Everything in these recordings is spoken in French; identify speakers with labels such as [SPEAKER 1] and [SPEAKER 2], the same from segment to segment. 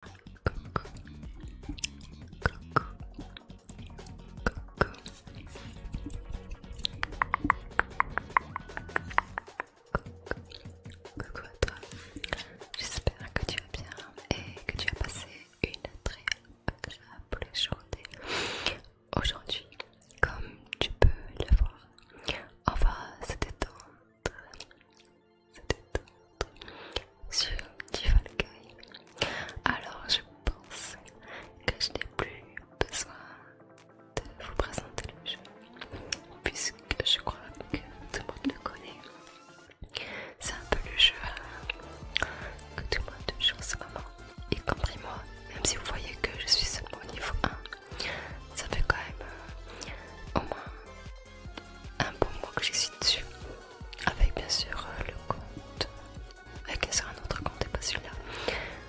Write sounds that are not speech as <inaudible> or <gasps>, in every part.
[SPEAKER 1] Coucou. Coucou. à toi, j'espère que tu vas bien et que tu as passé une très agréable journée. Aujourd'hui, comme tu peux le voir, on va se détendre sur du Alors je pense que je n'ai plus besoin de vous présenter le jeu puisque je crois que tout le monde le connaît. C'est un peu le jeu que tout le monde joue en ce moment, y compris moi, même si vous voyez que je suis seulement au niveau 1. Ça fait quand même euh, au moins un bon moi que j'existe dessus. Avec bien sûr euh, le compte. Avec sûr un autre compte et pas celui-là.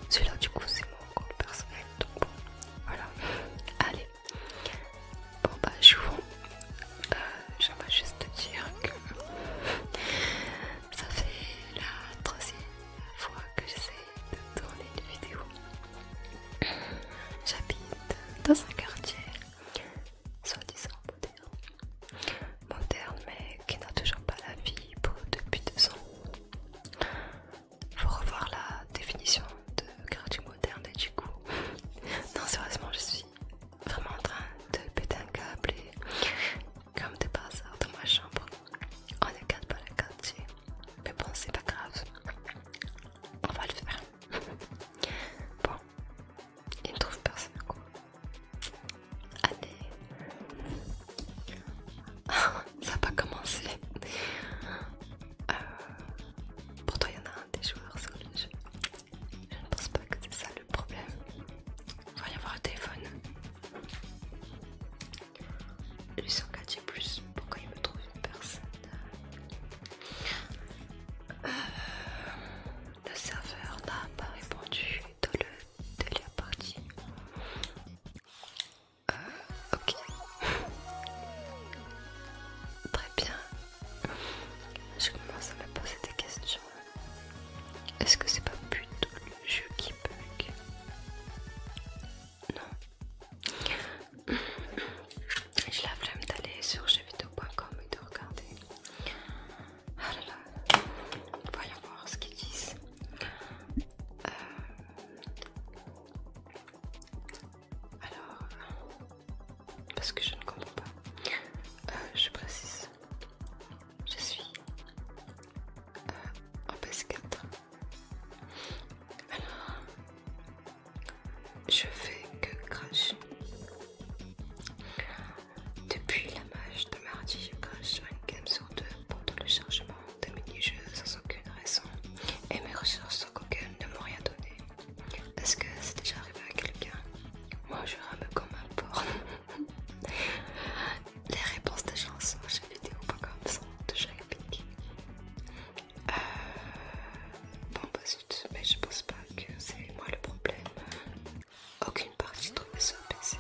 [SPEAKER 1] Celui-là du coup c'est mon compte personnel. Donc bon, voilà. Allez. Bon bah je vous euh, J'aimerais juste te dire que ça fait la troisième fois que j'essaie de tourner une vidéo. J'habite dans un quartier soi-disant moderne. Moderne mais qui n'a toujours pas la vie pour depuis deux ans. Faut revoir la définition de gratuit moderne et du coup. <laughs> Non sérieusement je suis vraiment en train de péter un câble et comme des par dans ma chambre. On ne garde pas le quartier. Mais bon c'est pas grave. On va le faire. <laughs> Bon, il ne trouve personne quoi, Allez, <laughs> ça n'a pas commencé. Euh, pourtant il y en a un des joueurs sur le jeu. Je ne pense pas que c'est ça le problème. Il va y avoir un téléphone. Lui, son gadget plus. Pourquoi il me trouve personne euh, euh, le serveur n'a pas répondu dans le délire la partie. Euh, ok. <laughs> Très bien. Je commence à me poser des questions. Est-ce que c'est pas plutôt le jeu qui bug Non. <clears throat> J'ai la flemme d'aller sur jeuxvideo.com et de regarder. Ah là là, voyons voir ce qu'ils disent. Euh, alors, parce que je ne comprends pas, euh, je précise, je suis euh, en PS4. Alors, je fais que crash. Depuis la match de mardi, je crash sur une game sur deux pendant le chargement de mini-jeux sans aucune raison et mes ressources sur Google ne m'ont rien donné. Est-ce que c'est déjà arrivé à quelqu'un Moi je rame comme un porc. <laughs> Les réponses des gens sur ça sont déjà épiques. Euh... Bon, bah si mais je pense pas que c'est moi le problème. Aucune partie trouve ce PC.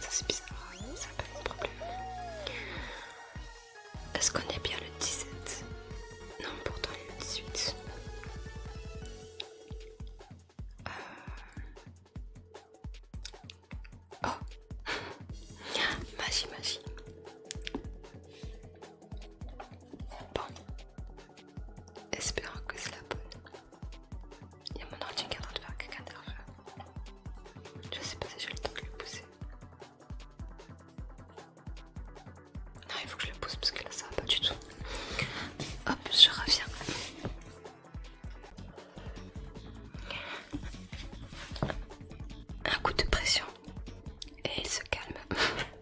[SPEAKER 1] Ça c'est bizarre, ça n'a pas de problème. Est-ce qu'on est bien le 17 Non, pourtant il le 18. Euh. Oh <laughs> Magie, magie. Bon, espérons que c'est la bonne. Il y a mon ordinateur qui est en train de faire quelque Je sais pas si j'ai le temps de le pousser. Non, il faut que je le pousse parce que là ça va pas du tout. Hop, je reviens. Un coup de pression et il se calme. <laughs>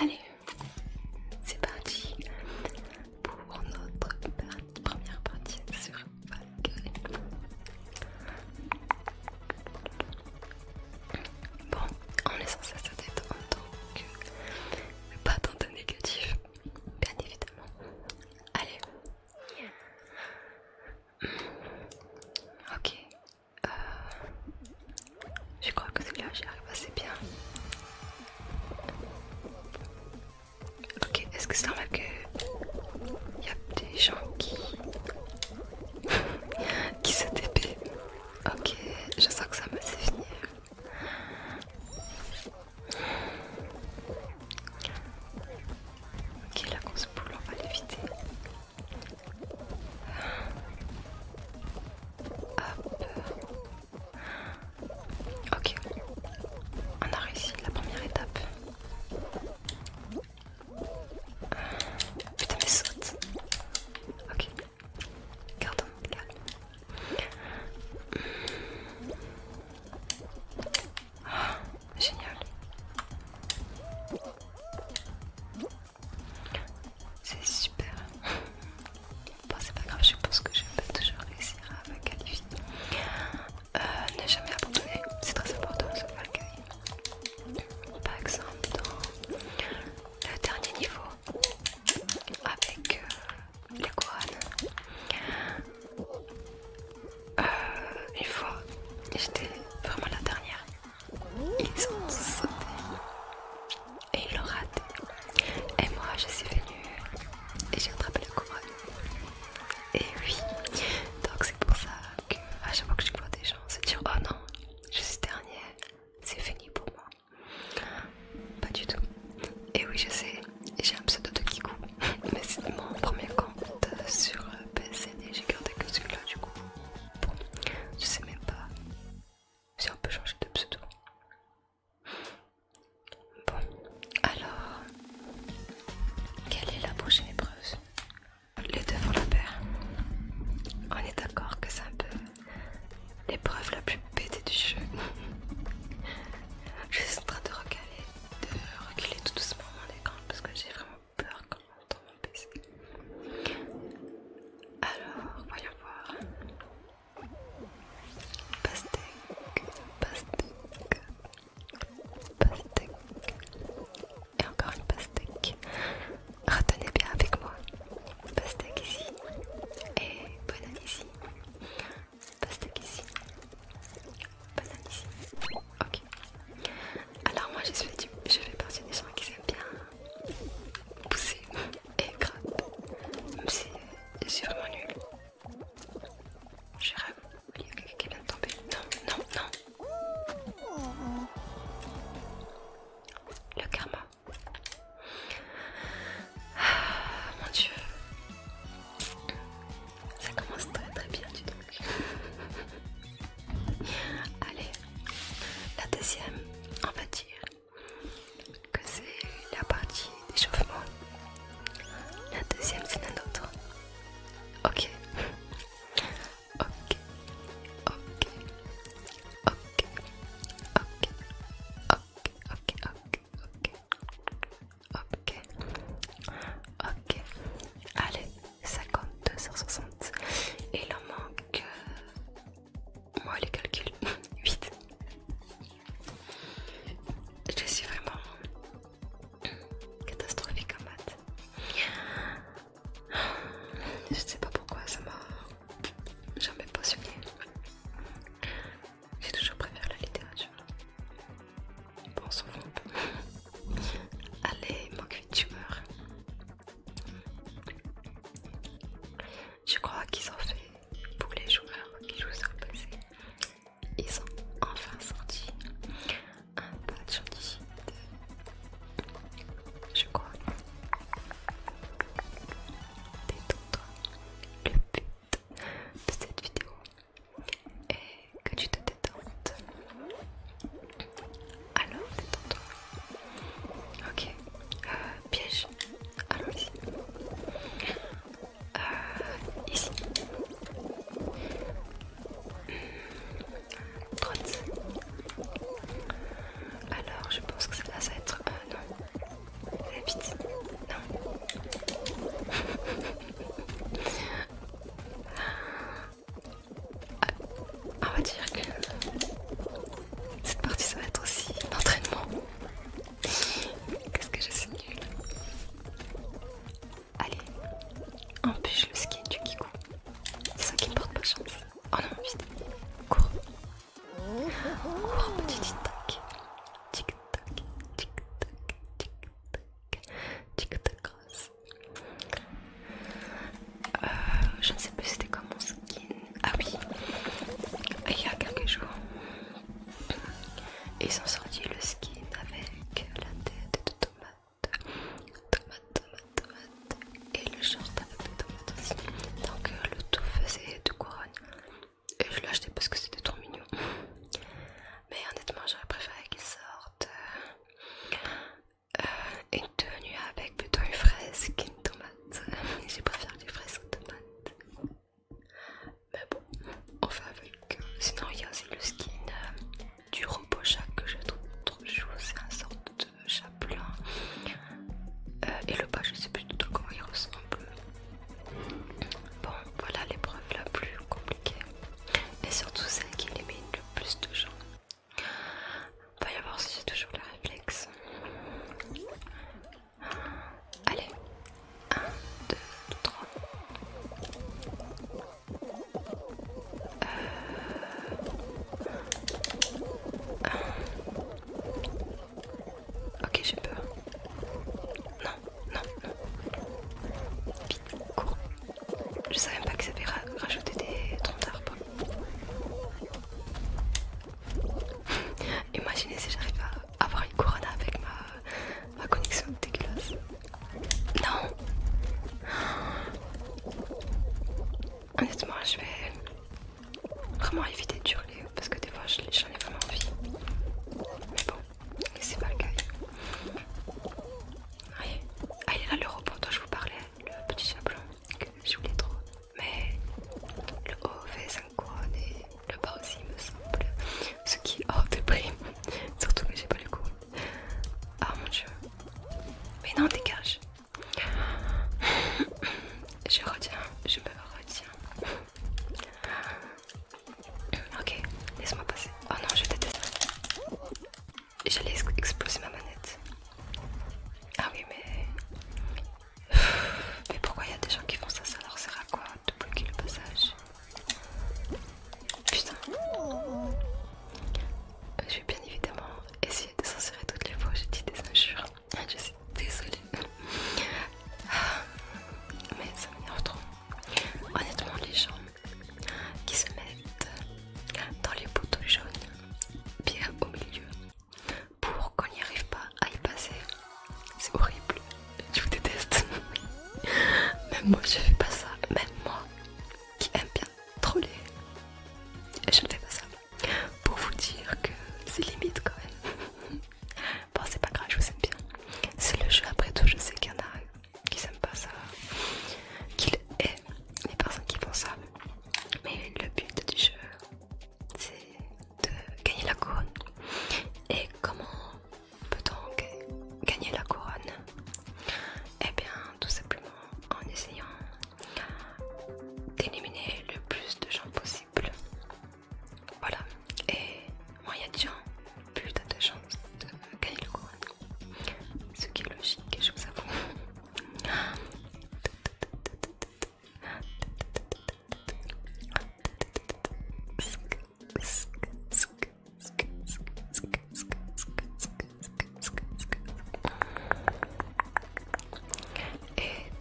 [SPEAKER 1] Allez, c'est parti pour notre première partie sur Valkyrie. Bon, on est censé se détendre que... pas tant de négatif, bien évidemment. Allez. Ok, euh, je crois que c'est là j'y arrive assez bien. Ok, est-ce que c'est normal que y a des gens qui <laughs> qui se TP Ok, je sens que ça me sait finir. Ok, la grosse se boule, on va l'éviter. Ok, on a réussi la première étape. Putain, mais saute. Ok, gardons calme. Oh, génial. C'est super. Bon, c'est pas grave, je pense que je vais toujours réussir à me qualifier. Euh, ne jamais abandonner, c'est très important de se Par exemple, dans le dernier niveau, avec euh, les couronnes, euh, une fois j'étais vraiment la dernière ils ont sauté et ils l'ont raté. Et moi je suis venue et j'ai attrapé le couronne. Et oui, donc c'est pour ça que à chaque fois que je vois des gens se dire oh non, je suis dernière, c'est fini pour moi. Pas du tout. Et oui je sais, j'ai un pseudo de Kikou, <laughs> mais c'est mon premier compte sur PC et j'ai gardé que celui-là du coup. Bon, je sais même pas si on peut changer de pseudo. Bon, alors, quelle est la prochaine épreuve Les deux vont la perdre. On est d'accord que c'est un peu l'épreuve la plus bête du jeu. <laughs> je suis en train de recaler, de reculer tout doucement mon écran parce que j'ai vraiment peur quand Alors, voyons voir. Pastèque, pastèque, pastèque. Et encore une pastèque. Retenez bien avec moi. Pastèque ici. Et banane ici. Pastèque ici. Banane ici. Ok. Alors moi je, je fais partie des gens qui aiment bien Pousser et gratte, même si je suis vraiment nul. J'ai rêve, il y a quelqu'un qui vient de tomber. Non, non, non. Le karma. Ah, mon dieu. Ça commence très très bien du truc. Allez, la deuxième, on va dire que c'est la partie d'échauffement. La deuxième, c'est un nôtre. Ok. Ok. Ok. Ok. Ok. Ok. Ok. Ok. Ok. Ok. Ok. Allez. 52 h 60. Et il en manque... Moi les calculs, 8. <laughs> Je suis vraiment catastrophique en maths. Je ne sais pas pourquoi ça m'a jamais passionné. J'ai toujours préféré la littérature. Bon, souvent un peu. Allez, manque meurs je crois qu'ils ont fait pour les joueurs qui jouent sur le PC. Ils ont enfin sorti un patch anti Je crois. Détends-toi. Le but de cette vidéo est que tu te détentes alors, Ok. Euh, piège. allons euh, ici. Hmm. Alors, je pense que ça va être. Euh, non. La Non. <laughs> Ah, on va dire que cette partie ça va être aussi l'entraînement. Qu'est-ce que je suis nulle. Allez, empêche le ski du Kikou. C'est ça qui me porte pas chance. Oh non, vite. Cours. Cours, petit tic-tac. Tic-tac, tic-tac, tic-tac, tic-tac, tic-tac. Euh, je ne sais plus c'était comme mon skin. Ah oui, il y a quelques jours, ils ont sorti le skin avec la tête de tomate. Tomate, tomate, tomate. Et le short avec des tomates aussi. Donc euh, le tout faisait de couronne. Et je l'ai acheté parce que c'était trop mignon. Mais honnêtement, j'aurais préféré qu'il sorte... Euh, une euh, tenue avec plutôt une fraise qu'une tomate. <laughs> J'ai préféré des fraises aux tomates. Mais bon, on fait avec. Euh, sinon, il y a aussi le skin euh, du robot chat que je trouve trop chou. C'est un sorte de chat blanc. et le bas, je sais plus du tout comment il ressemble. Bon, voilà l'épreuve la plus compliquée. Et surtout celle qui élimine le plus de gens. On va y avoir si j'ai toujours le réflexe. Allez, 1, 2, 3. Ok, j'ai peur. Non, non, non. Vite, cours. Je savais même pas que ça avait rajouter des troncs d'arbres. Imaginez si j'arrive à avoir une couronne avec ma, connexion dégueulasse. Non Honnêtement, je vais vraiment éviter de hurler parce que des fois j'en ai vraiment envie. Mais bon, c'est pas le cas. Allez ah, là le robot dont je vous parlais, le petit chapeau que je voulais trop mais le haut fait 5 couronnes le bas aussi me semble, ce qui est hors de prime, <laughs> surtout que j'ai pas le coup. Ah mon dieu, mais non dégage. Je retiens, je me retiens. Ok, laisse-moi passer. Oh non, je déteste. J'allais exploser ma manette. Ah oui, mais. Mais pourquoi il y a des gens qui font ça Ça leur sert à quoi de bloquer le passage Putain. Euh, je vais bien évidemment essayer de censurer toutes les fois où j'ai dit des injures. Ah, je suis désolée. Ah, mais ça m'énerve trop. Honnêtement, les gens qui se mettent dans les boutons jaunes, bien au milieu, pour qu'on n'y arrive pas à y passer. C'est horrible, je vous déteste. <laughs> Même moi je fais pas ça, même moi qui aime bien troller, je ne fais pas ça. Pour vous dire que c'est limite quand même. <laughs> Bon c'est pas grave, je vous aime bien. C'est le jeu après tout, je sais qu'il y en a qui n'aiment pas ça, qu'il aiment les personnes qui font ça. Mais le but du jeu, c'est de gagner la couronne. Et comment peut-on gagner la couronne et eh bien, tout simplement en essayant d'éliminer le plus de gens possible. Voilà, et moi il y a de gens, plus de chance de gagner la couronne. Ce qui est logique, je vous avoue. <laughs> Et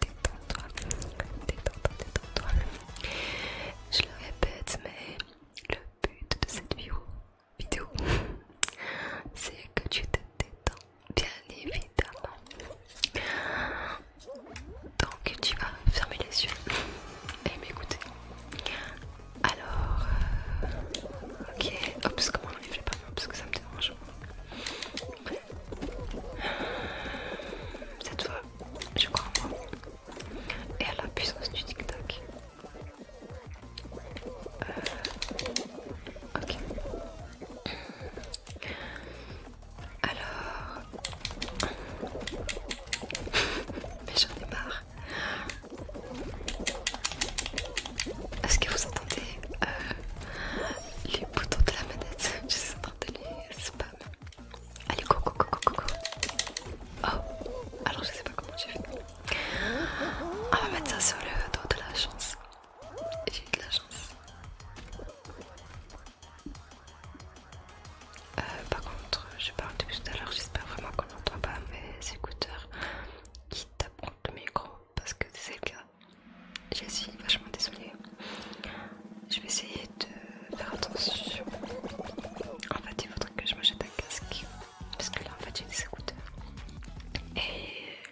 [SPEAKER 1] détends-toi, détends-toi, détends-toi. Je le répète, mais le but de cette vidéo, vidéo <laughs> c'est que tu te détends bien évidemment. Donc tu vas fermer les yeux et eh, m'écouter. Alors, euh, ok, oups, comment on fait pas parce que ça me dérange. Cette fois, je crois en moi et à la puissance du tic-tac. Euh, ok. Alors... Mais j'en ai marre. Est-ce que vous entendez euh, les boutons de la manette Je suis en train de les spam. Allez, go, go, go, go, Oh, alors je sais pas comment j'ai fait. On va mettre ça sur le dos de la chance. J'ai eu de la chance. Euh, par contre, je parle depuis tout à l'heure, j'espère vraiment qu'on n'entend pas mes écouteurs qui tapent contre le micro parce que c'est le cas. Je suis vachement désolée. Je vais essayer de faire attention. En fait, il faudrait que je m'achète un casque parce que là, en fait, j'ai des écouteurs. Et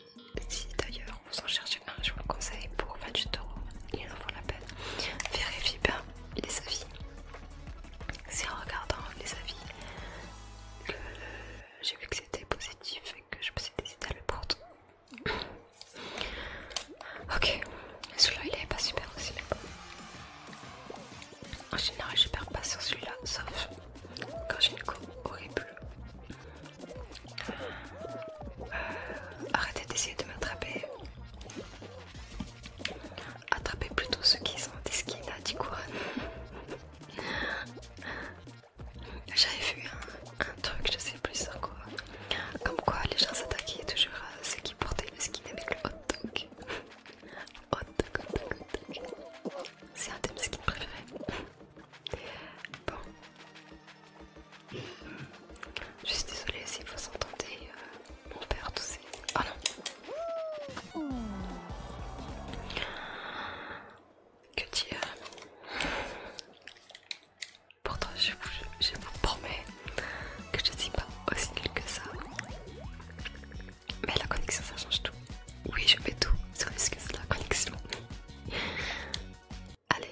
[SPEAKER 1] si d'ailleurs vous en cherchez un, je vous le conseille pour du euros, il en vaut la peine. Vérifiez bien les avis. C'est en regardant les avis que j'ai vu que c'était positif et que je me suis décidé à le prendre. Ok, celui-là il est pas super aussi, En général, je perds pas sur celui-là, sauf quand j'ai une plus. horrible. Arrêtez d'essayer de m'attraper. Attrapez plutôt ceux qui sont des skins à hein, du couronnes. J'avais vu un, truc, je sais plus sur quoi. Comme quoi les gens s'attaquaient toujours à ceux qui portaient le skin avec le hot dog. Hot dog, hot dog, hot dog. C'est un de mes skins préférés. Bon. Je suis désolée si vous entendez euh, mon père toussé, Oh ah non. Que dire Pourtant, je vous, promets que je ne suis pas aussi nulle que ça. Mais la connexion, ça change tout. Oui, je vais tout sur risque c'est la connexion. Allez,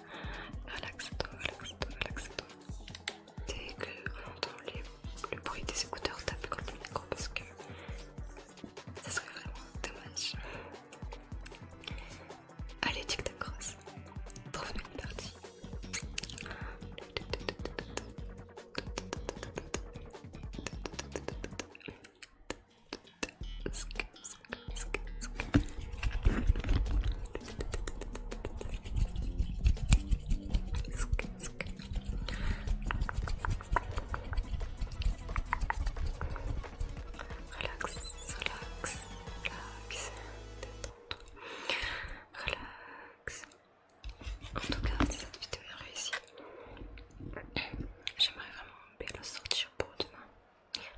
[SPEAKER 1] Relaxe-toi, relaxe-toi, relaxe-toi. Dès entend le bruit des écouteurs, taper contre le micro parce que ça serait vraiment dommage. Allez, tic-tac-cross, trouve partie. Relax, relax, relax, détends-toi, relax. En tout cas, si cette vidéo est réussie, j'aimerais vraiment bien la sortir pour demain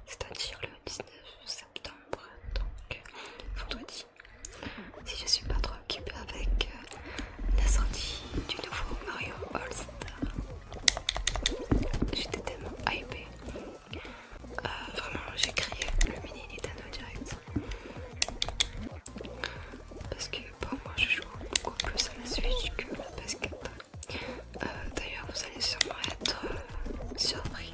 [SPEAKER 1] c'est-à-dire le 19 septembre, donc vendredi. Si je suis pas trop occupée avec euh, la sortie du nouveau Mario All Star, j'étais tellement hypée. Euh, vraiment, j'ai créé le mini Nintendo Direct. Parce que pour moi, je joue beaucoup plus à la Switch que à la euh, D'ailleurs, vous allez sûrement être surpris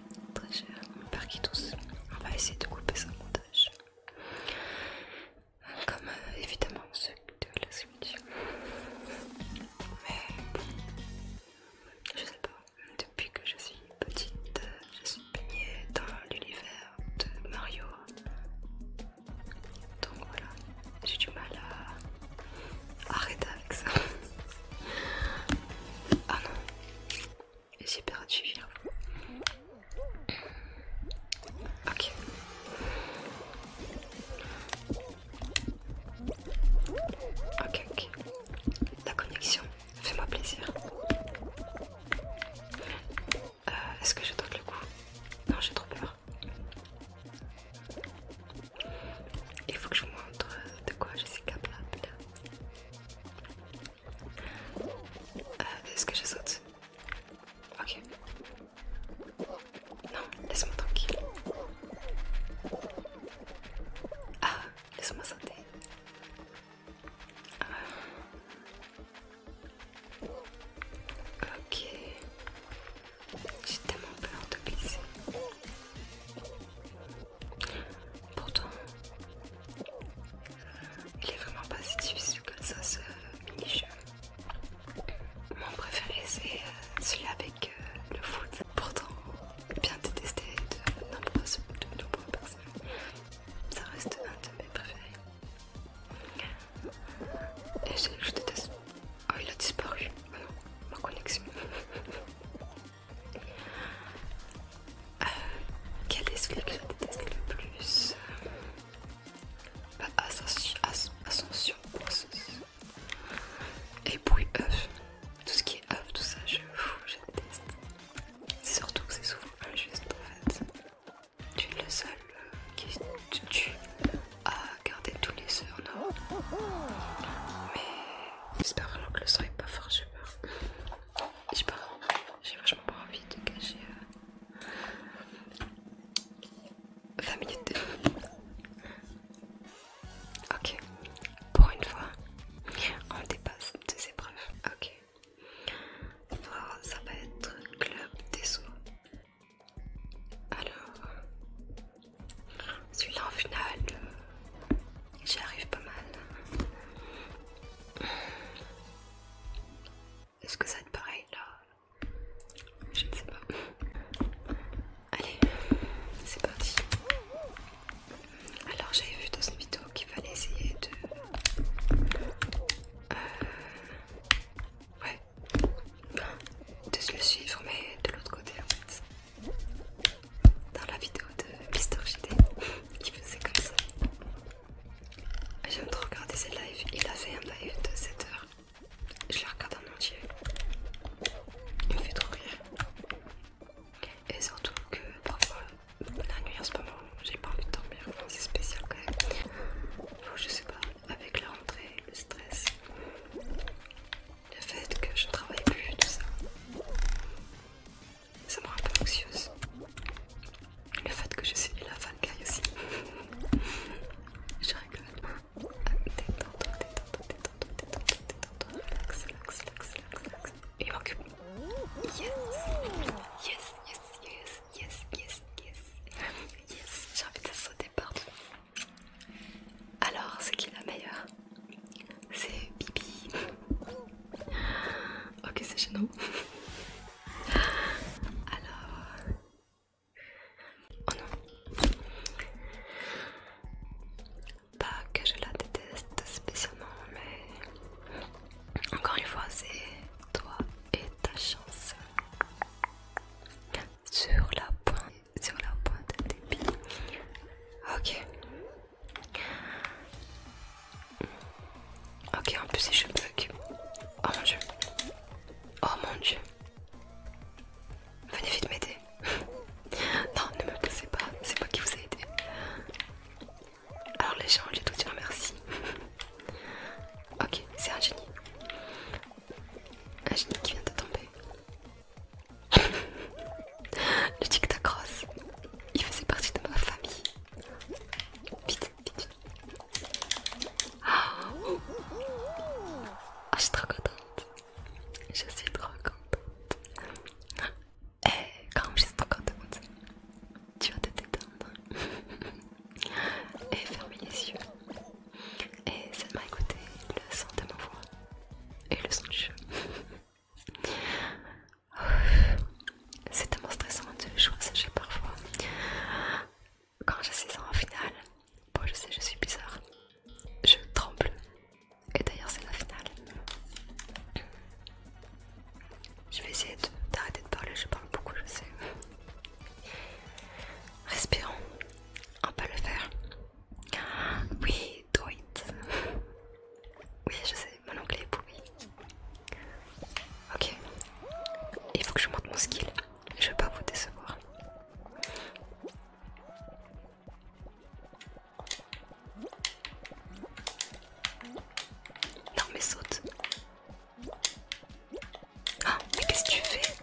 [SPEAKER 1] très cher, père qui tous. On va essayer de couper son montage. Comme euh, évidemment ceux de la suite, Mais bon, je sais pas, depuis que je suis petite, euh, je suis baignée dans l'univers de Mario. Donc voilà, j'ai du mal à arrêter avec ça. Oh <laughs> non, et c'est perdu, hein. Ok. Ok, ok. La connexion, fais-moi plaisir. Euh, est-ce que je dois le coup Non, j'ai trop peur. Il faut que je vous montre de quoi je suis capable. Euh, est-ce que je saute Ok. Non, laisse-moi tranquille. Ah, laisse-moi sauter. Ah. Ok. J'ai tellement peur de glisser. Pourtant, il est vraiment pas si difficile que ça ce mini-jeu. Mon préféré c'est euh, celui avec euh, le foot, pourtant bien détesté de nombreuses, de nombreuses personnes. Ça reste un de mes préférés. Et je, je déteste. Oh, il a disparu. ma connexion. <laughs> Euh, quel est celui que je déteste le plus Ascension, Et puis oeuf Tout ce qui est oeuf, tout ça, je, je déteste. C'est surtout que c'est souvent injuste en fait. Tu es le seul euh, qui tu, tu garder tous les surnoms. Mais j'espère vraiment que le soir est pas fort, j'ai peur j'ai pas j'ai vachement pas envie de cacher 20 euh, minutes de... Ok, pour une fois, on dépasse deux épreuves. Ok, Alors, ça va être Club des Sous. Alors, celui-là en finale, euh, J'y arrive pas mal. Est-ce que ça va être pareil là Je ne sais pas. Allez, c'est parti. Alors j'avais vu dans une vidéo qu'il fallait essayer de... Euh, ouais. De se le suivre mais de l'autre côté en fait. Dans la vidéo de Mister JD, qui faisait comme ça. J'aime trop regarder ses lives. Il a fait un live de 7 h Je le regarde en entier. Il me fait trop rire. Et surtout que parfois, la nuit en ce moment, j'ai pas envie de dormir. c'est spécial quand même. je sais pas, avec la rentrée, le stress, le fait que je travaille plus, tout ça ça me rend un peu anxieuse. Le fait que je suis la fan aussi. je rigole. Détends-toi, Yes, yes, yes, yes, yes, yes. Yes, j'ai envie de sauter partout. Alors, c'est qui la meilleure? C'est Bibi. <gasps> Ok, c'est nous <laughs> Alors... Oh non. Pas que je la déteste spécialement, mais... Encore une fois, c'est toi et ta chance. Sur la pointe, sur la pointe des pieds. Ok. Ok, en plus, je bug. Oh mon dieu. Oh mon dieu. Venez vite m'aider. <laughs> non, ne me poussez pas. C'est pas qui vous ai aidé. Alors les gens, je dois dire merci. <laughs> ok, c'est un génie. Un génie qui vient de tomber. <laughs> Le tic il faisait partie de ma famille. Ah, je suis trop contente. Je suis trop contente. Et eh, quand je suis trop contente, tu vas te détendre. Et fermer les yeux. Et seulement écouter le son de ma voix. Et le son du jeu. C'est tellement stressant de jouer parfois. Quand je suis ans en finale, bon je sais je suis bizarre, je tremble. Et d'ailleurs c'est la finale. Je vais essayer d'arrêter de, de parler, je parle beaucoup je sais. Respirons, on peut le faire. Oui, do it. Oui, je sais mon anglais est Ok, il faut que je monte mon skill. Je vais pas vous décevoir. Non, mais saute. Ah, mais qu'est-ce que tu fais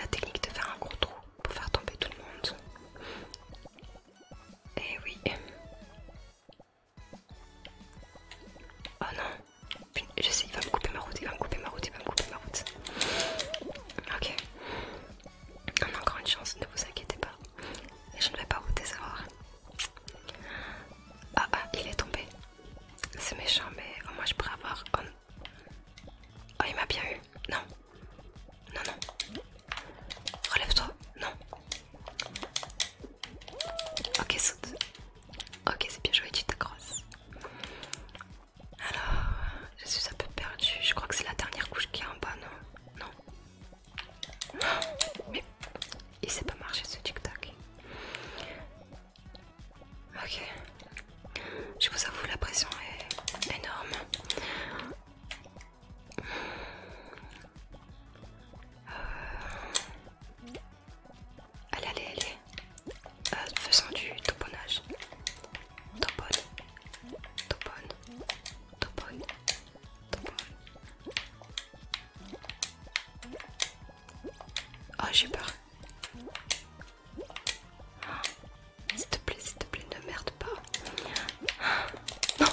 [SPEAKER 1] La technique de faire un gros trou pour faire tomber tout le monde. Eh oui. Oh non. Je sais, il va me couper ma route, il va me couper ma route, il va me couper ma route. Ok. On a encore une chance, ne vous inquiétez pas. Je ne vais pas vous décevoir. Ah ah, il est tombé. C'est méchant, mais au moins je pourrais avoir... oh il m'a bien eu. Non. Non, non. Relève-toi. Non. Ok, saute. Ok, c'est bien joué, tu t'accroches. Alors, je suis un peu perdue. Je crois que c'est la dernière couche qui est en bas, non Non. <gasps> Mais il s'est pas marché ce tic-tac. Ok. Je vous avoue, la pression est énorme. Allez, allez, allez. Euh, faisons du toponnage. Topone. Topone. Topone. Topone. Oh, j'ai peur. S'il te plaît, s'il te plaît, ne merde pas. Non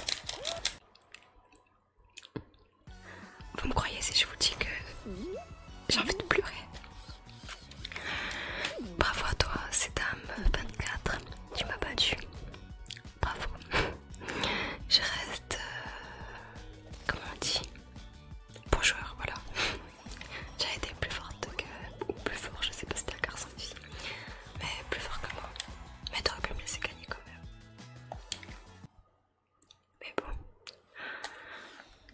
[SPEAKER 1] vous me croyez si je vous dis que j'ai envie de pleurer. Bravo à toi, c'est dame 24. Tu m'as battu. Bravo. Je reste... Euh, comment on dit Bon joueur, voilà. J'ai été plus forte que... Ou plus fort, je sais pas si t'es un garçon fille Mais plus fort que moi. Mais t'aurais pu me laisser gagner mais bon,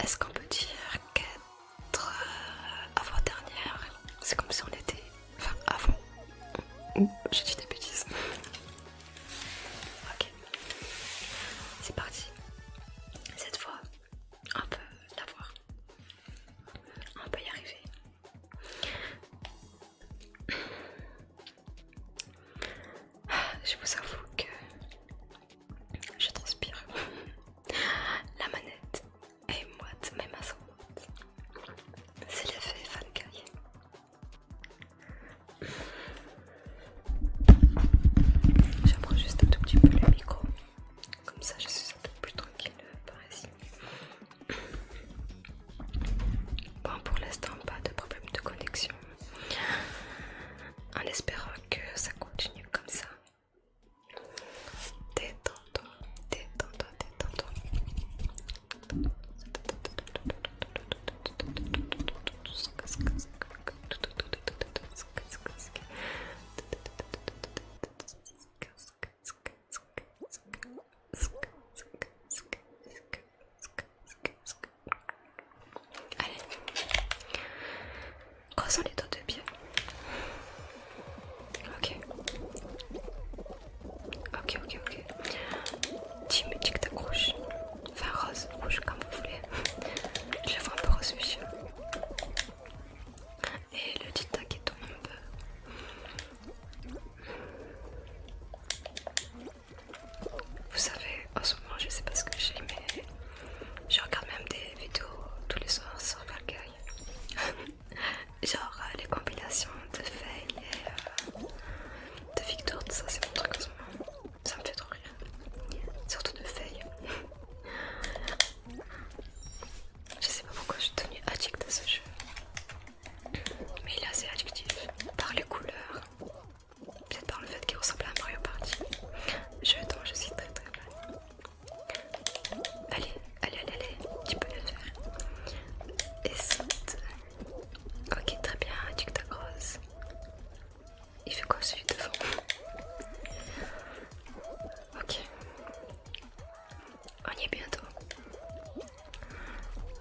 [SPEAKER 1] est-ce qu'on peut dire qu'être euh, avant-dernière, c'est comme si on était. Enfin, avant. j'ai dit des bêtises. ok, c'est parti. Cette fois, on peut l'avoir. On peut y arriver. <sighs> Je vous avoue que je transpire. <laughs> La manette est moite, même à son moite. C'est l'effet Fall Guy. J'approche juste un tout petit peu le micro. Comme ça, je suis un peu plus tranquille par ici. Bon, pour l'instant, pas de problème de connexion. En espérant que ça continue comme ça. Allez, croisons les doigts de pied. Ok, ok, ok, ok. Team que tac rouge, enfin rose, rouge comme vous voulez. Je le vois un peu rose, monsieur. Et le tic qui tombe un peu vous savez, en ce moment, je sais pas ce que j'ai, mais je regarde même des vidéos tous les soirs sur Fall <laughs> Genre euh, les compilations de Faye et euh, de Victor, ça, c'est mon truc en ce moment. Ça me fait trop rire. Surtout de Faye. <laughs> Je sais pas pourquoi je suis devenue addict à ce jeu. Mais il est assez adjectif, par les couleurs, peut-être par le fait qu'il ressemble à un Mario Party. Je t'en, je suis très très bien. Allez, allez, allez, allez, tu peux le faire. Et Ok, très bien, TikTok grosses. Il fait quoi celui devant Ok. On y est bientôt.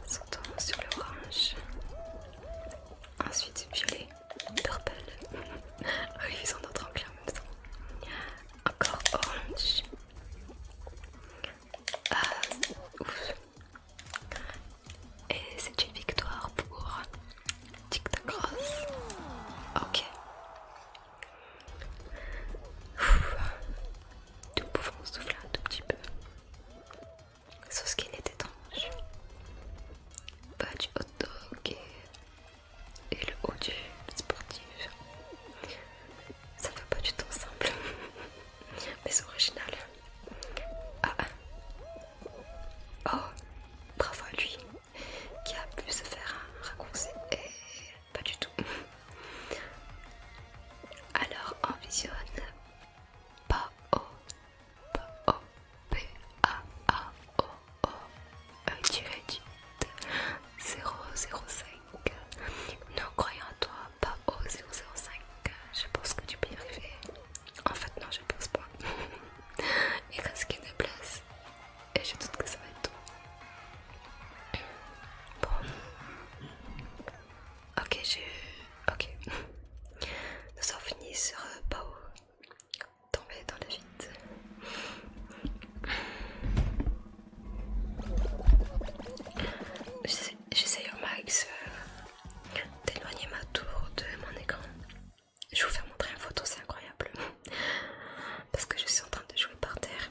[SPEAKER 1] Sautons sur l'orange. Ensuite violet, purple. <laughs> oui, ils sont d'autres en en même temps. Encore orange. Ah, euh, ouf. Et c'est une victoire pour TikTok Cross. Ok. Nous pouvons souffler un tout petit peu ce qui est étrange. Pas du hot dog et, le haut du sportif. Ça fait pas du tout simple. <laughs> Mais original. Ah Oh Bravo à lui qui a pu se faire un et eh, pas du tout. Alors on visionne P-O, P-O, P-A-A-O, O, p o a a o o e 005. croyons toi, pa o 005. Je pense que tu peux y arriver. En fait, non, je pense pas. Il reste qu'une place et je doute que ça va être tout. Bon. Ok, j'ai... Ok. Nous <laughs> sommes finis sur euh, Pao. Tomber dans la vide. J'essaye au max euh, d'éloigner ma tour de mon écran. Je vous fais montrer une photo, c'est incroyable. <laughs> Parce que je suis en train de jouer par terre.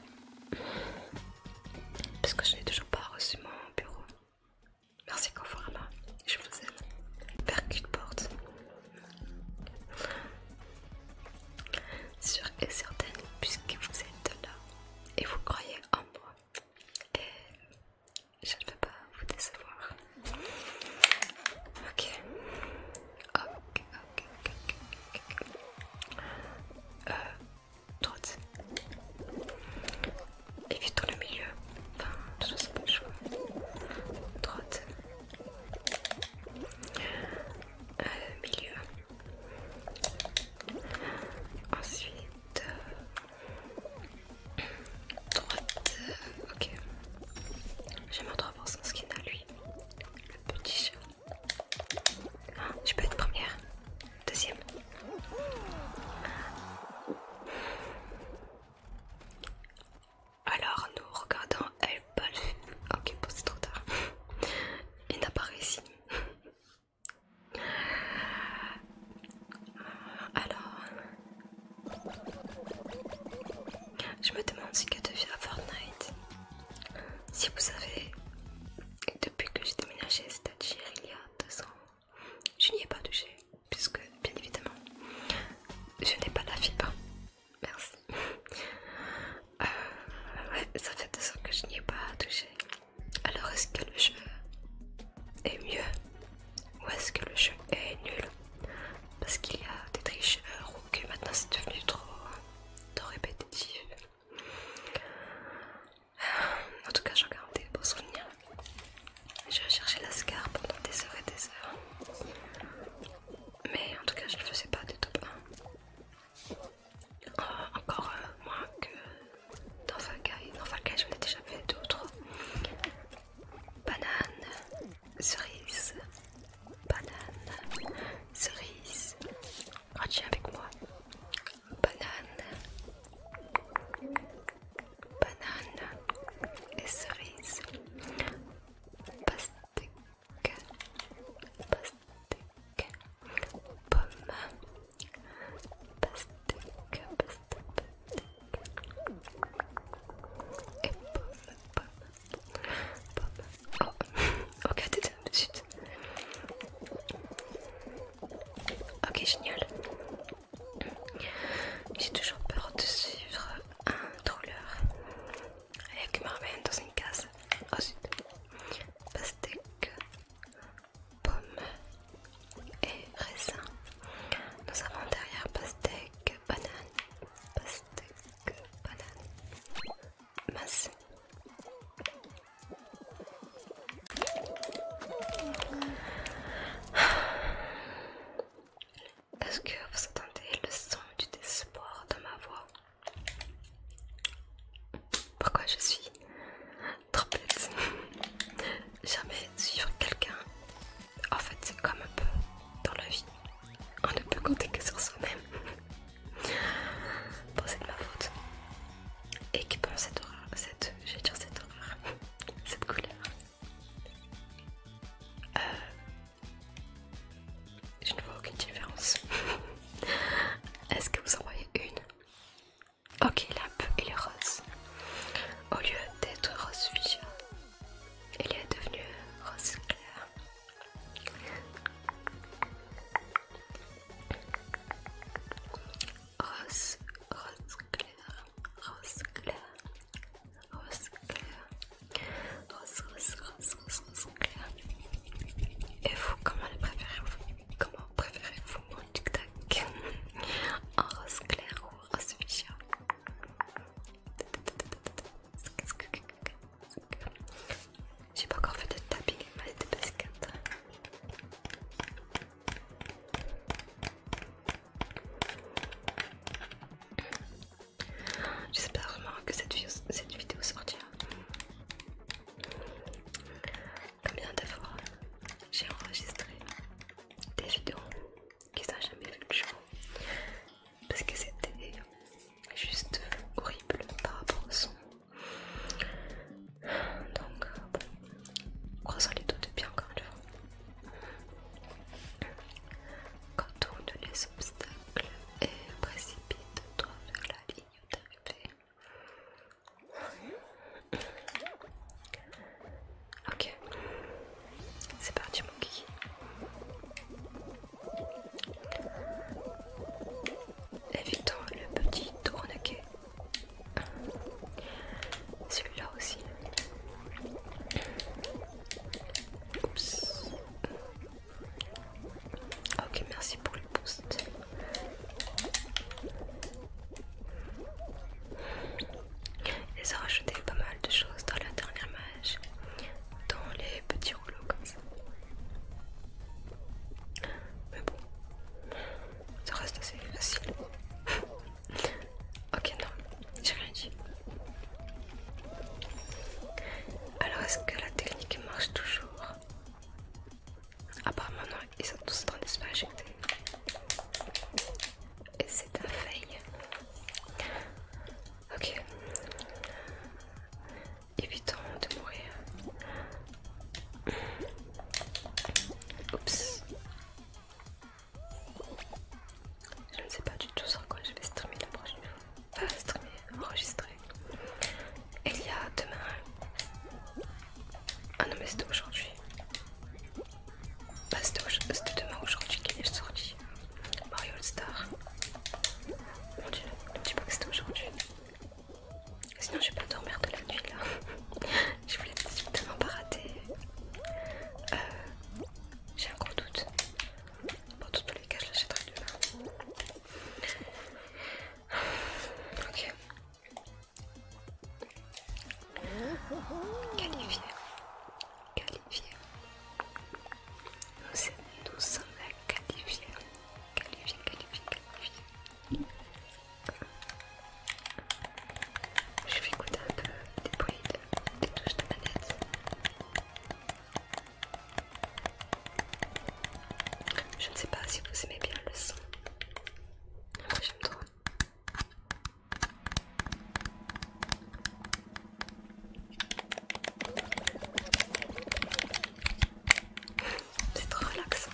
[SPEAKER 1] Parce que je n'ai toujours pas reçu mon bureau. Merci Conforama, je vous aime. qu'une porte. Sûre et certaine, puisque vous êtes là et vous croyez en moi. Et je ne vais pas vous décevoir. Ok. Ok, ok, ok, ok. Euh, droite. dans le milieu. Enfin, de toute façon, le choix Droite. milieu. Ensuite. Euh, droite. ok. J'aime en 3% ce qu'il a lui. Le petit chat. Ah, je peux être première. Deuxième. Alors nous regardons elle Ok bon c'est trop tard. Il n'a pas réussi. Alors je me demande ce que devient Fortnite. Si vous savez, depuis que j'ai déménagé, c'est-à-dire il y a deux ans, je n'y ai pas touché, puisque bien évidemment, je n'ai pas la fibre. Merci. Euh, ouais, ça fait deux ans que je n'y ai pas touché. Alors est-ce que le jeu est mieux ou est-ce que le jeu est nul Parce qu'il y a des tricheurs ou que maintenant c'est devenu trop, trop répétitif. En tout cas, j'en garde des beaux souvenirs. J'ai la l'ascar pendant des heures et des heures. Mais en tout cas, je ne faisais pas de top 1. encore euh, moins que dans Fall Dans Fall j'en ai déjà fait d'autres bananes, cerises, Banane, cerise, banane, cerise. avec moi banane, banane et cerise, pastèque, pastèque, pomme, pastèque, pastèque, pomme, pomme, pomme. Oh, de suite. Ok, génial. J'ai toujours peur de suivre un trolleur avec Marmaine dans une case. Ensuite, pastèque, pomme et raisin. Nous avons derrière pastèque, banane, pastèque, banane, masse. Est-ce que vous entendez le son du désespoir dans ma voix Pourquoi je suis trop bête <laughs> Jamais suivre quelqu'un. En fait, c'est comme un peu dans la vie. On ne peut compter que sur soi-même. <laughs> Bon, c'est de ma faute. Et qui pense cette horreur, cette, je cette horreur, <laughs> cette couleur. Euh, je ne vois aucune différence. <laughs> Est-ce que vous en voyez une Ok, la il est rose. Au lieu d'être rose fuchsia, elle est devenue rose clair. Rose, rose clair rose clair, rose clair, rose, rose, rose, rose, rose clair. Et vous, comment le préférez-vous Comment préférez-vous mon tic-tac En rose clair ou en rose fuchsia j'ai pas encore fait de tapping mais des baskets. J'espère vraiment que cette vidéo, sortira. Combien de fois j'ai enregistré des vidéos qui n'ont jamais vu le jour parce que c'était juste horrible par rapport au son. Donc, euh, Croisant les doigts de pied encore une fois. Contourne les obstacles et précipite-toi vers la ligne d'arrivée. Ok, c'est parti mon kiki. Évitons le petit tournequet celui-là aussi. Oups. Ok, merci pour le boost. Ils ont rajouté pas mal de choses dans la dernière mage. dans les petits rouleaux comme ça. Mais bon, ça reste assez facile. Ok, non, j'ai rien dit. Alors, est-ce que la technique marche toujours Apparemment, non, ils sont tous en train de se faire Et c'est un fail. Ok. Évitons de mourir. Oups. Je ne sais pas du tout sur quoi je vais streamer la prochaine fois. Enfin, streamer, enregistrer. il y a demain. Ah non, mais c'était aujourd'hui. Bah, c'était demain aujourd'hui qu'il est sorti. Mario All Star. Mon dieu, ne me dis pas que c'était aujourd'hui. Sinon, je vais pas dormir de la nuit là. Je voulais tellement pas rater. Euh, j'ai un gros doute. Bon, dans tous les cas, je l'achèterai demain. Ok. Qualifié. Qualifié. Nous sommes à qualifier Qualifié, qualifié, qualifié. Je vais goûter un peu des bruits des touches de manette. Je ne sais pas si vous aimez bien le son. Moi j'aime trop. <laughs> C'est trop relaxant.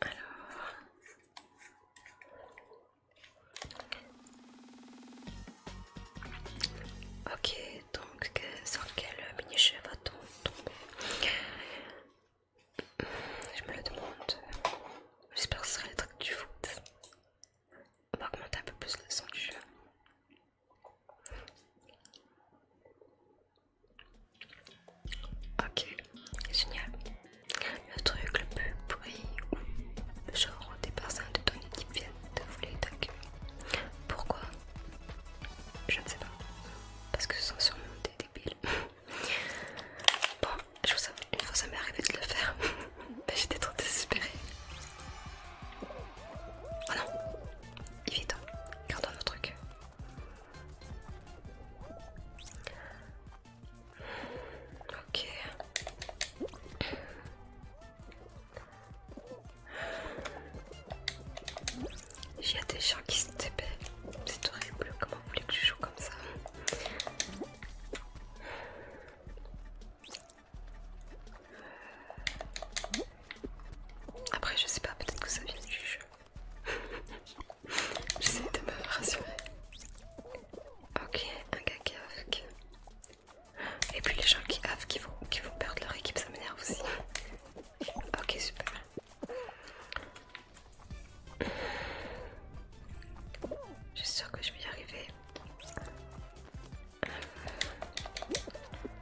[SPEAKER 1] Alors, Ok, donc sur quel mini chef va va-t-on tomber Je me le demande. J'espère que ce sera les trucs du foot. On va augmenter un peu plus le son du jeu. Ok, génial. Le truc le plus pourri ou genre des personnes de ton équipe viennent de vous ta queue Pourquoi Je ne sais pas. Parce que ce sont sûrement des débiles. <laughs> bon, je vous avoue, une fois ça m'est arrivé de le faire. mais <laughs> bah, J'étais trop désespérée. Oh non évident, hein. gardons notre truc. Ok. Il y a des gens qui se TP. C'est horrible. Comment vous voulez que je joue comme ça après je sais pas, peut-être que ça vient du jeu. <laughs> J'essaie de me rassurer. Ok, un gars qui AFK. Et puis les gens qui havent, qui vont, qui vont perdre leur équipe, ça m'énerve aussi. Ok, super. Je suis sûre que je vais y arriver.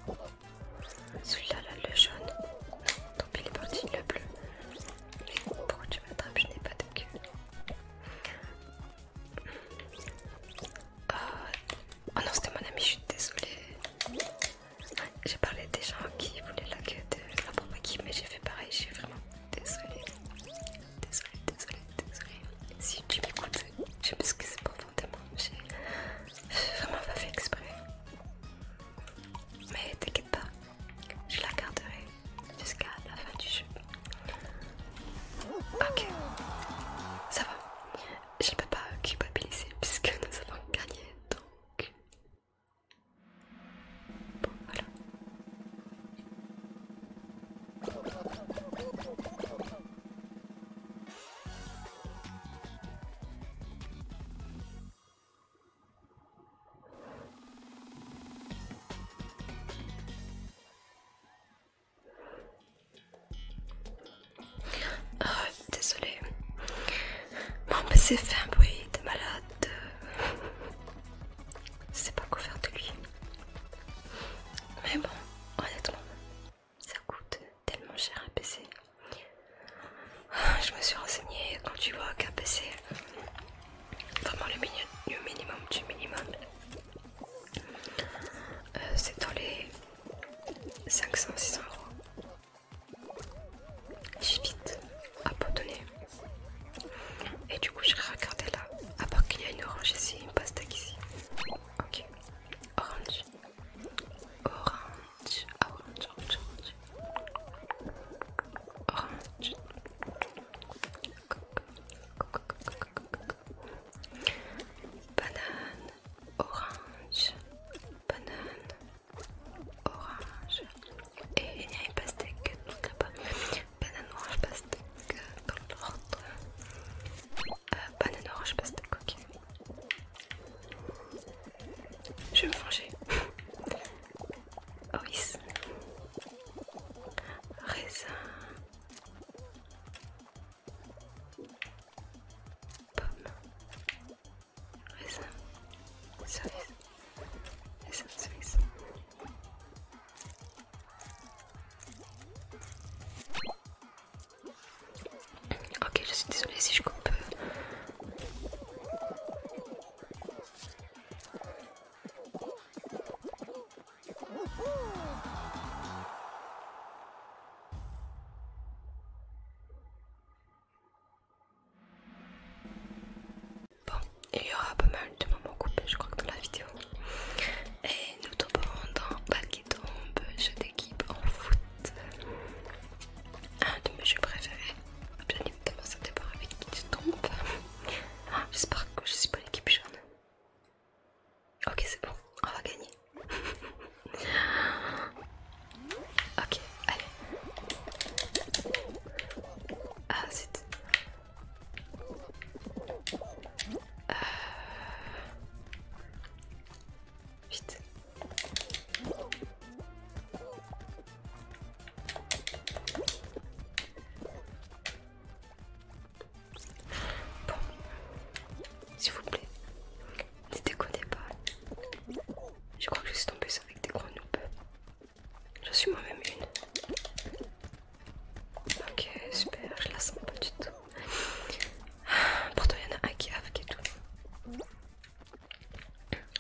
[SPEAKER 1] Euh, celui-là, le jaune. tant pis, il est parti, le bleu. Pourquoi tu m'attrapes Je n'ai pas de cul. Euh, oh, non, c'était mon ami, je suis désolée. J'ai parlé des gens qui voulaient la queue de la propre équipe, mais j'ai fait pareil, je suis vraiment désolée. Désolée, désolée, désolée. Si tu m'écoutes, je m'excuse profondément. J'ai vraiment pas fait exprès. Mais t'inquiète pas, je la garderai jusqu'à la fin du jeu. Ok, ça va. Je ne peux pas culpabiliser puisque nous avons gagné donc. Bon, voilà. Euh, désolé, mon PC fait un bruit de malade. C'est pas couvert de lui. Mais bon, honnêtement, ça coûte tellement cher un PC. Je me suis renseignée quand tu vois KP vraiment le, minimum du minimum. Euh, c'est dans les 500-600 euros. J'ai vite abandonné. Et du coup, je regardais là. À part qu'il y a une orange ici, une pastèque ici. Ok. Orange. Orange. Ah, orange. Orange orange, banane, orange, banane, orange et il y a une pastèque tout là Banane, orange, pastèque dans l'ordre. banane, orange, pastèque, ok. Je vais me fonger Oris, raisin, pomme, raisin, cerise, raisin, cerise. Ok, je suis désolée si je coupe. Bon, il y aura pas mal de moments coupés, je crois que dans la vidéo. Et nous tombons dans Balle qui tombe, jeu d'équipe en foot. Un de mes jeux préférés. Bien évidemment, ça dépend avec qui tu tombes. J'espère que je suis pas l'équipe jaune. Ok, c'est bon, on va gagner. <laughs> ok, allez. Ah, c'est euh, Vite. Bon, s'il vous plaît, ne déconnez pas. Je crois que je suis tombée avec des grenouilles. J'en suis moi-même une. Ok, super, je la sens pas du tout. <sighs> Pourtant, il y en a un qui avec et tout.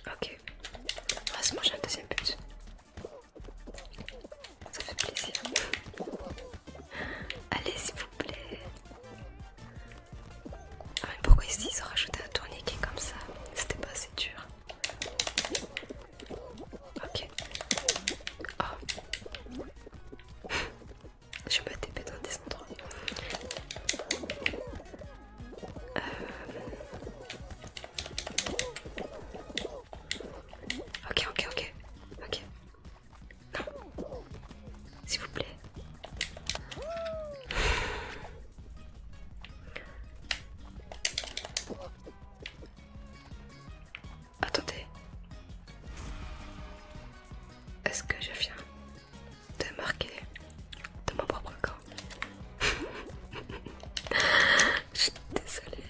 [SPEAKER 1] Ok, on va se un deuxième but. Ça fait plaisir. Allez, s'il vous plaît. Ah, mais pourquoi ici ils ont rajouté un tourniquet comme ça C'était pas assez dur. Ok. Oh. <laughs> Je vais pas taper dans des endroits. Euh, Ok, ok, ok, ok. Non. S'il vous plaît. Attendez. Est-ce que je viens de marquer de mon propre corps <laughs> Je suis désolée.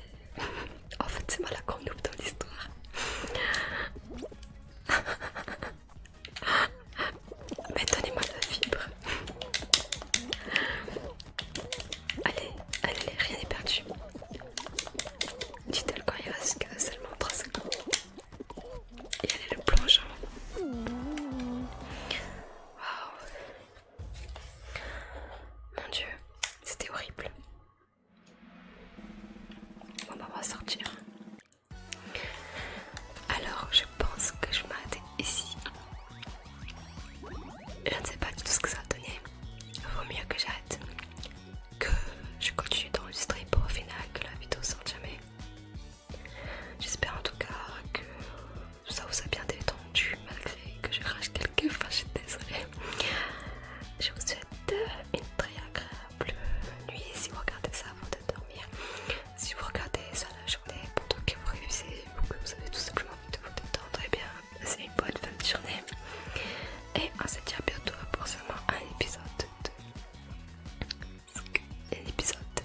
[SPEAKER 1] En fait, c'est moi la conloupe dans l'histoire. <laughs> Mais donnez-moi la fibre. Allez, allez, rien n'est perdu. Dites-le quand il reste seulement 3 secondes. Et allez le plongeant Waouh mon dieu, c'était horrible. on va sortir. Alors, je pense que je m'arrête ici. Je ne sais pas du tout ce que ça a donné. Vaut mieux que j'arrête. Que je continue d'enregistrer pour au final que la vidéo sorte jamais. J'espère en tout cas que ça vous a bien détendu malgré que je crache quelques fois, je Je vous souhaite euh, une très agréable nuit si vous regardez ça avant de dormir. Si vous regardez ça la journée pendant que vous réussissez ou que vous avez tout simplement envie de vous détendre, et eh bien c'est une bonne fin de journée. Et on se dit à bientôt pour seulement un épisode de. Un épisode de.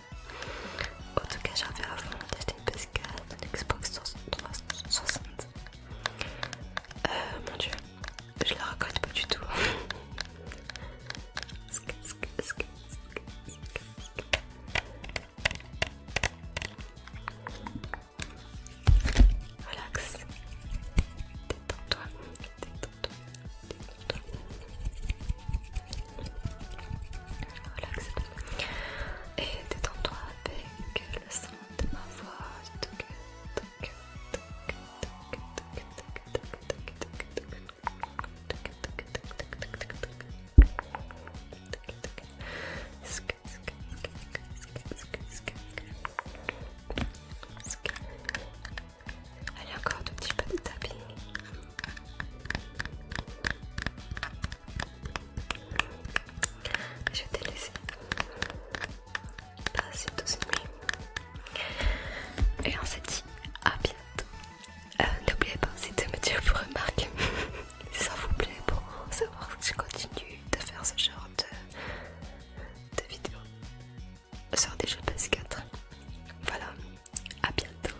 [SPEAKER 1] En tout cas, j'avais fond d'acheter une Pascal de Xbox 360. Euh, mon dieu, je la raconte pas du tout. Relax, et détends-toi avec le son de ma voix. Allez encore un petit peu de je t'ai laissé passer ce nuit. Et on s'est dit à bientôt. Euh, n'oubliez pas aussi de me dire vos remarques si ça <laughs> vous plaît pour savoir si je continue de faire ce genre de, de vidéos sur des jeux PS4. Voilà, à bientôt.